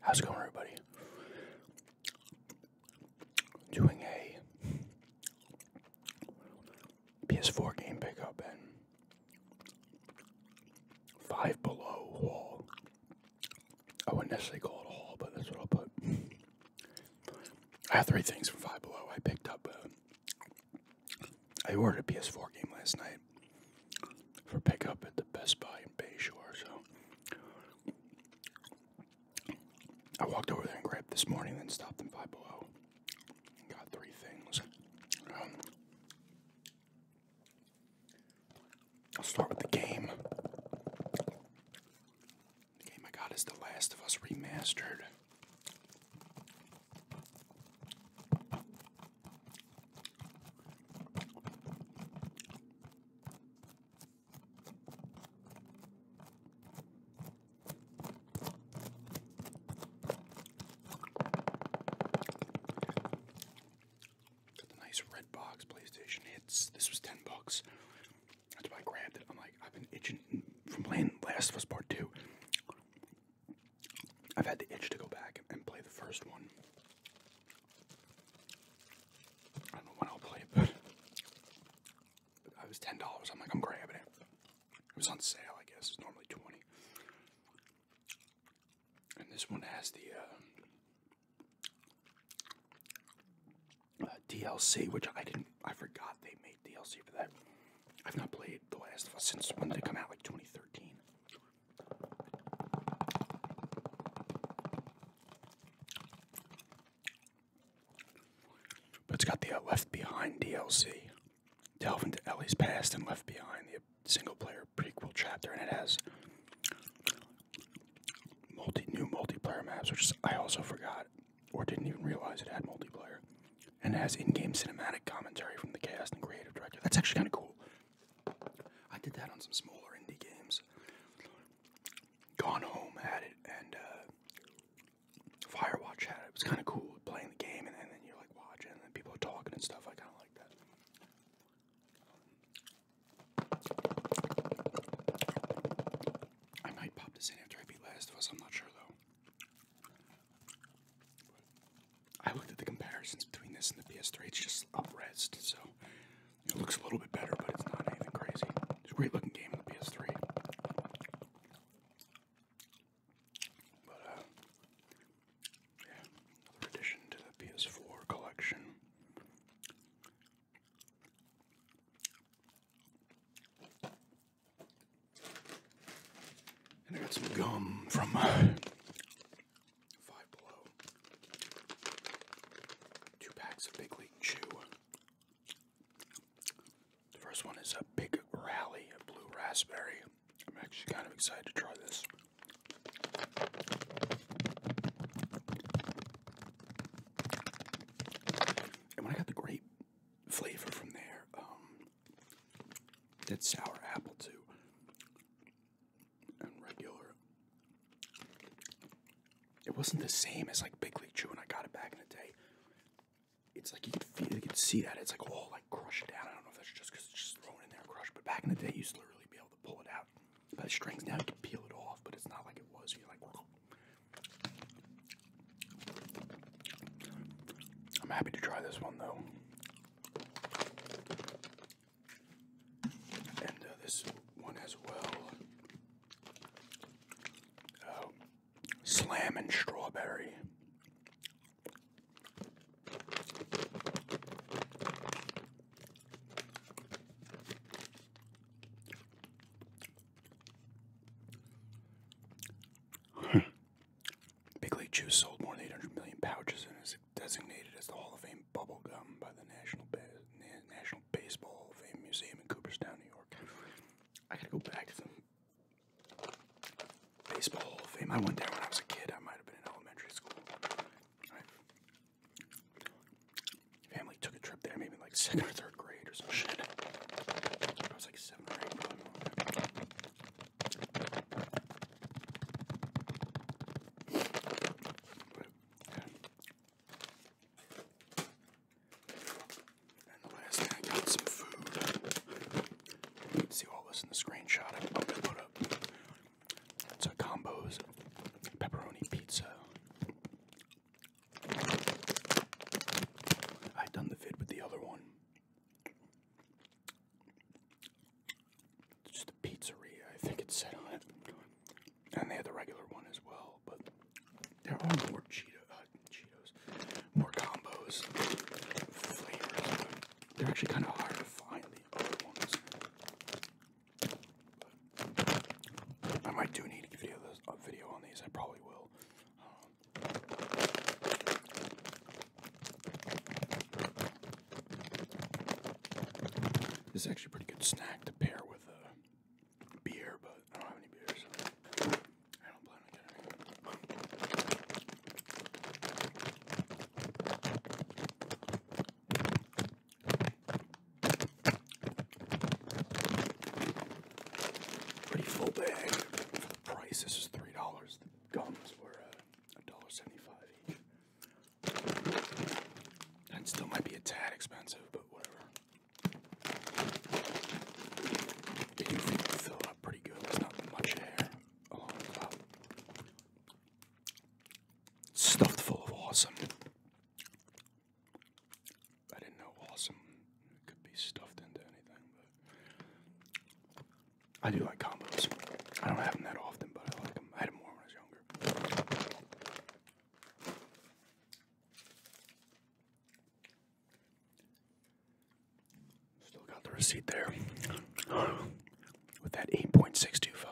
How's it going, everybody? Doing a PS4 game pickup and five below haul. I wouldn't necessarily call it a haul, but that's what I'll put. I have three things from Five Below. I picked up. I ordered a PS4 game last night for pickup at the Best Buy in Bayshore. So I walked over there and grabbed this morning, then stopped in Five Below. Got three things. Um, I'll start with the game. The game I got is The Last of Us Remastered. Got the nice red box PlayStation hits. This was 10 bucks. That's why I grabbed it. I'm like, I've been itching from playing Last of Us Part 2. I've had the itch to go back and play the first one. I don't know when I'll play it, I was ten dollars. I'm like, I'm grabbing it. It was on sale, I guess. It's normally twenty. And this one has the uh, uh, DLC, which I didn't. I forgot they made DLC for that. I've not played The Last of Us since when they come out? Like 2013. But it's got the uh, Left Behind DLC. Delve into Ellie's past and Left Behind, the single player prequel chapter, and it has multi new multiplayer maps, which I also forgot or didn't even realize it had multiplayer. And has in game cinematic commentary from the cast and creative director. That's actually kind of cool. I did that on some smaller indie games. Gone Home had it, and uh, Firewatch had it. was kind of cool playing the game, and, then you're like watching, and then people are talking and stuff. I kind of like that. I might pop this in after I beat Last of Us. I'm not sure though. I looked at the comparisons between this and the PS3. It's just uprest, so it looks a little bit better, but it's not anything crazy. It's a great looking game on the PS3. But uh, yeah, another addition to the PS4 collection. And I got some gum from uh, Five Below. Two packs of Big League Chew. The first one is a big rally of blue raspberry. I'm actually kind of excited to try this. And when I got the grape flavor from there, um, sour apple too, and regular it wasn't the same as like Big League Chew when I got it back in the day. It's like you can feel, you could see that. It's like, oh, like crushed down. I don't know if that's just because it's just thrown in there crushed. But back in the day, you used to literally be able to pull it out by the strings. Now you can peel it off, but it's not like it was. You're like, I'm happy to try this one though. And uh, this one as well. Um, Slam and strawberry. Big League Chew sold more than 800 million pouches and is designated as the Hall of Fame bubble gum by the National, National Baseball Hall of Fame Museum in Cooperstown, New York. I gotta go back to the Baseball Hall of Fame. I went there when I was a kid. I might have been in elementary school. family took a trip there, maybe like second or third grade or some shit. I was like seven or and last I got some food. See all this in the screenshot I'm going to put up. It's a combos pepperoni pizza. I done the vid with the other one. It's just pizzeria, I think it said on it. And they had the regular one as well but there are more uh, Cheetos, more combos, flavors. they're actually kind of hard to find the other ones. I might do need a video on these. I probably will. Um, this is actually a pretty good snack to pair with uh, beer, but I don't have any beer, so I don't plan on getting any. Pretty full bag. price, this is $3. The gums were uh, $1.75 each. That still might be a tad expensive, but whatever. They do fill up pretty good. There's not much hair along the Stuffed full of awesome. I didn't know awesome could be stuffed into anything, I do like combos. I don't have them that often, but I like them. I had them more when I was younger. Still got the receipt there with that 8.625 uh,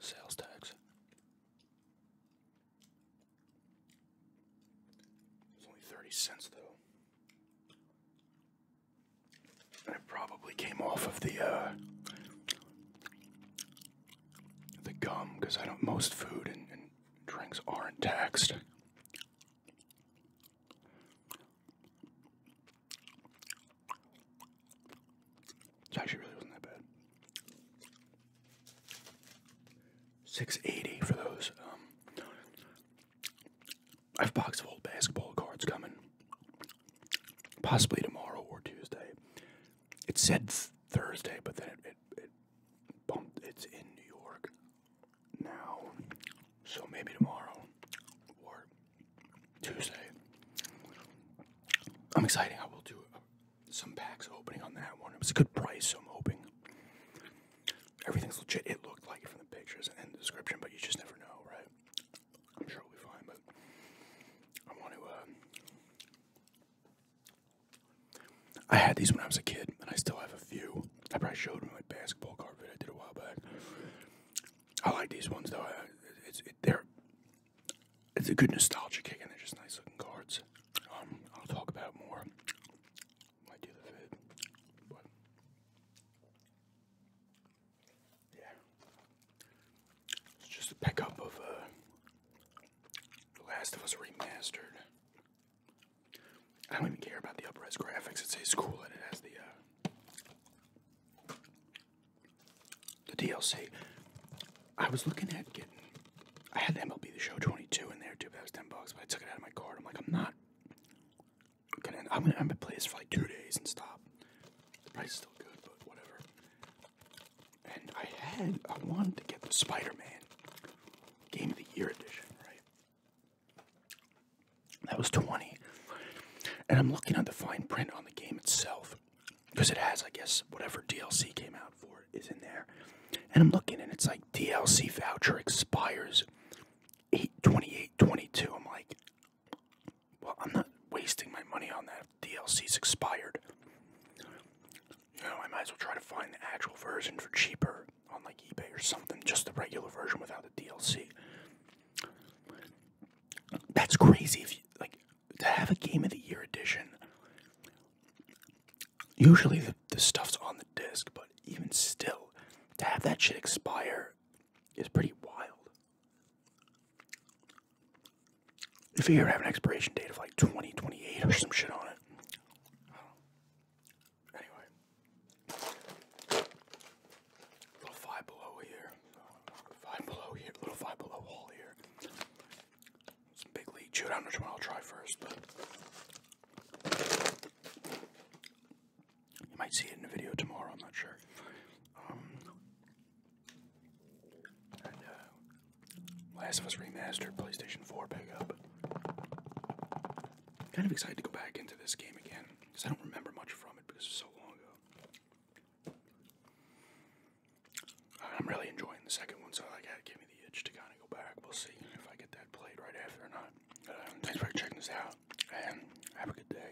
sales tax. It's only 30 cents though. And it probably came off of the uh, the gum because I don't. Most food and, drinks aren't taxed. It actually really wasn't that bad. Six eighty for those. Um, I have a box of old basketball cards coming, possibly tomorrow or Tuesday. It said Thursday, but then it, it, bumped. It's in New York now, so maybe tomorrow or Tuesday. I'm excited. I will do uh, some packs opening on that one. It was a good price, so I'm hoping everything's legit. It looked like it from the pictures and the description, but you just never know, right? I'm sure we'll be fine, but I want to. Uh, I had these when I was a kid, and I still have a few. I probably showed them my basketball card video I did a while back. I like these ones though. it's they're it's a good nostalgia kick, and they're just nice looking cards. Um, I'll talk about more. Might do the vid, but yeah, it's just a pickup of uh, The Last of Us Remastered. I don't even care about the upres graphics. It says cool and it has the uh, the DLC. I was looking at getting. I had the MLB The Show 22 in there too, but that was 10 bucks. But I took it out of my card. I'm like, I'm not gonna. I'm gonna, I'm gonna play this for like two days and stop. The price is still good, but whatever. And I had, I wanted to get the Spider Man Game of the Year edition, right? That was 20. And I'm looking at the fine print on the game itself. Because it has, I guess, whatever DLC came out for is in there. And I'm looking and it's like DLC voucher expires 8 28 22. I'm like, well, I'm not wasting my money on that. If DLC's expired. You know, I might as well try to find the actual version for cheaper on like eBay or something. Just the regular version without the DLC. That's crazy. If like to have a Game of the Year edition. Usually the, the stuff's on the disc, but even still, to have that shit expire is pretty wild. If you ever have an expiration date of like 2028 or some shit on it. Anyway. Little five below here. Five below here. Little five below wall here. Some big league chew. I don't know which one I'll try first, you might see it in a video tomorrow, I'm not sure. Um, uh, Last of Us Remastered, PlayStation 4 up. Kind of excited to go back into this game again because I don't remember much from it because it's so long ago. I'm really enjoying the second one, so like that give me the itch to kind of go back. We'll see if I get that played right after or not. Um, thanks for checking this out, and have a good day.